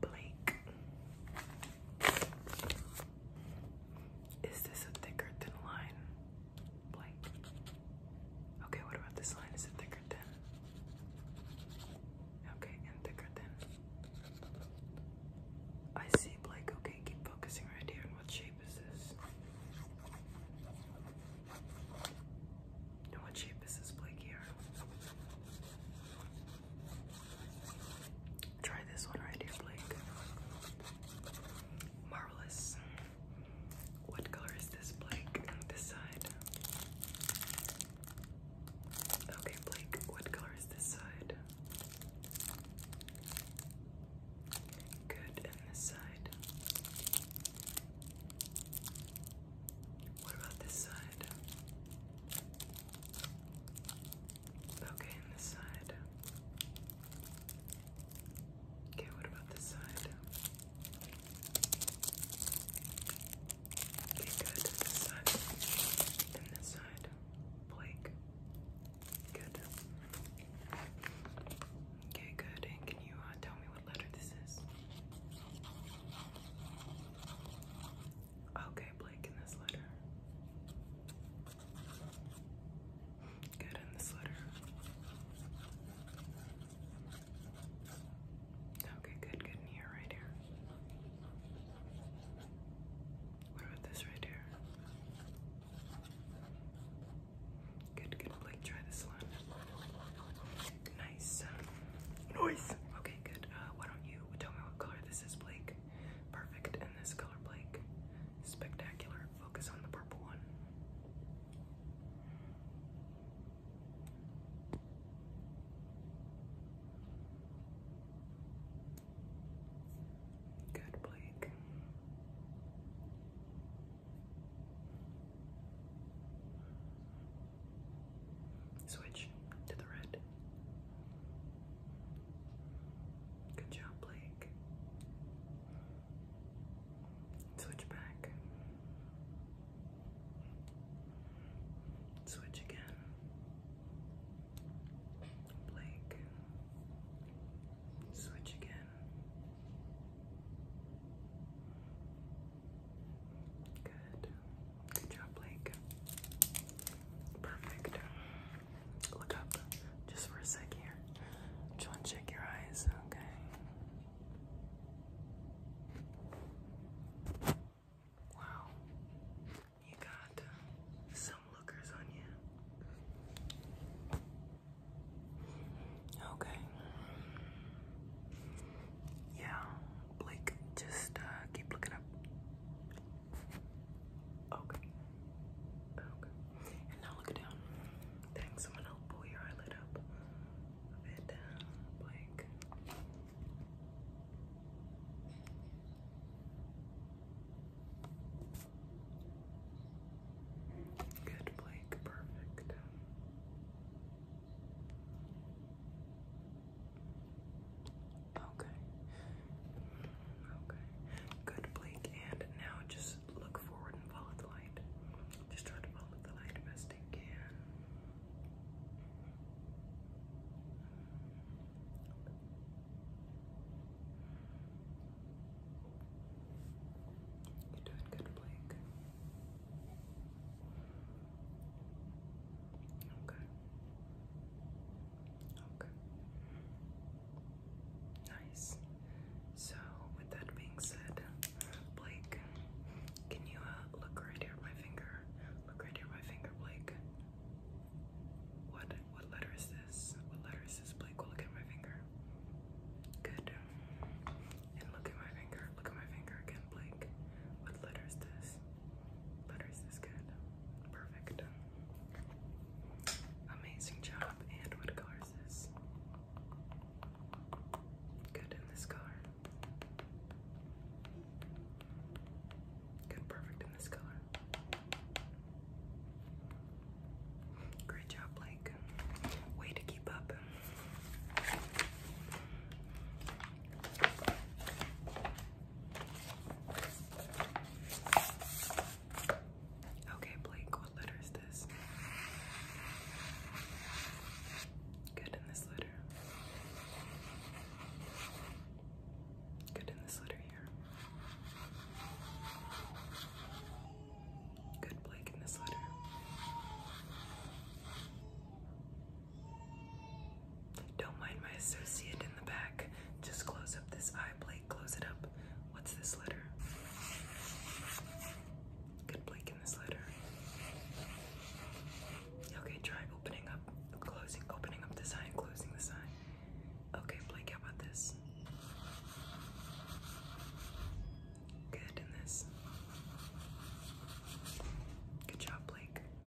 Blake. Is this a thicker thin line? Blake. Okay, what about this line? Is it thicker than? Okay, and thicker than. I see Blake. Okay, keep focusing right here. And what shape is this? what shape is this Blake? here? Try this one right here, Blake. Marvelous. What color is this, Blake? This side. Okay, Blake, what color is this side? Good, and this side. What about this side? Okay, this side. Okay, what about this side? Okay, good. This side. And this side. Blake. Good. Okay, good. And can you uh, tell me what letter this is? Okay, Blake, in this letter. Good, in this letter. Okay, good, good. In here, right here. What about this right here? Good, good, Blake, try this one. Nice. Uh, nice. Okay, good. Uh, why don't you tell me what color this is, Blake? Perfect. And this color, Blake. Spectacular. Focus on the purple one. Good, Blake. Switch to the red. Good job, Blake. Switch back. Switch again. Blake. Switch again. Good. Good job, Blake. Perfect. Look up just for a sec here. Just want to check your eyes, okay? Wow. You got uh, some lookers on you. Okay. Yeah, Blake, just uh, keep looking up. Okay. Okay. And now look down. Thanks. I'm pull your eyelid up a bit. Uh, Blake. Good, Blake, perfect. Okay. Okay. Good, Blake. And now just look forward and follow the light. Just try to follow the light best best You're doing good, Blake. Okay. Okay. Nice. So, with that being said, Blake, can you uh, look right here my finger? Look right here my finger, Blake. What what letter is this? What letter is this, Blake? Well, look at my finger. Good. And look at my finger. Look at my finger again, Blake. What letter is this? Letter is this good? Perfect. Amazing job. And what color this? Good in this color. Good, perfect in this color. Great job, Blake. Way to keep up. Okay, Blake, what letter is this? Good in this letter. Good in this letter here. Good Blake in this letter. Don't mind my associate in the back. Just close up this eye plate. Close it up. What's this letter? Good blake in this letter. Okay, try opening up, closing, opening up the sign, closing the sign. Okay, Blake, how about this? Good in this. Good job, Blake.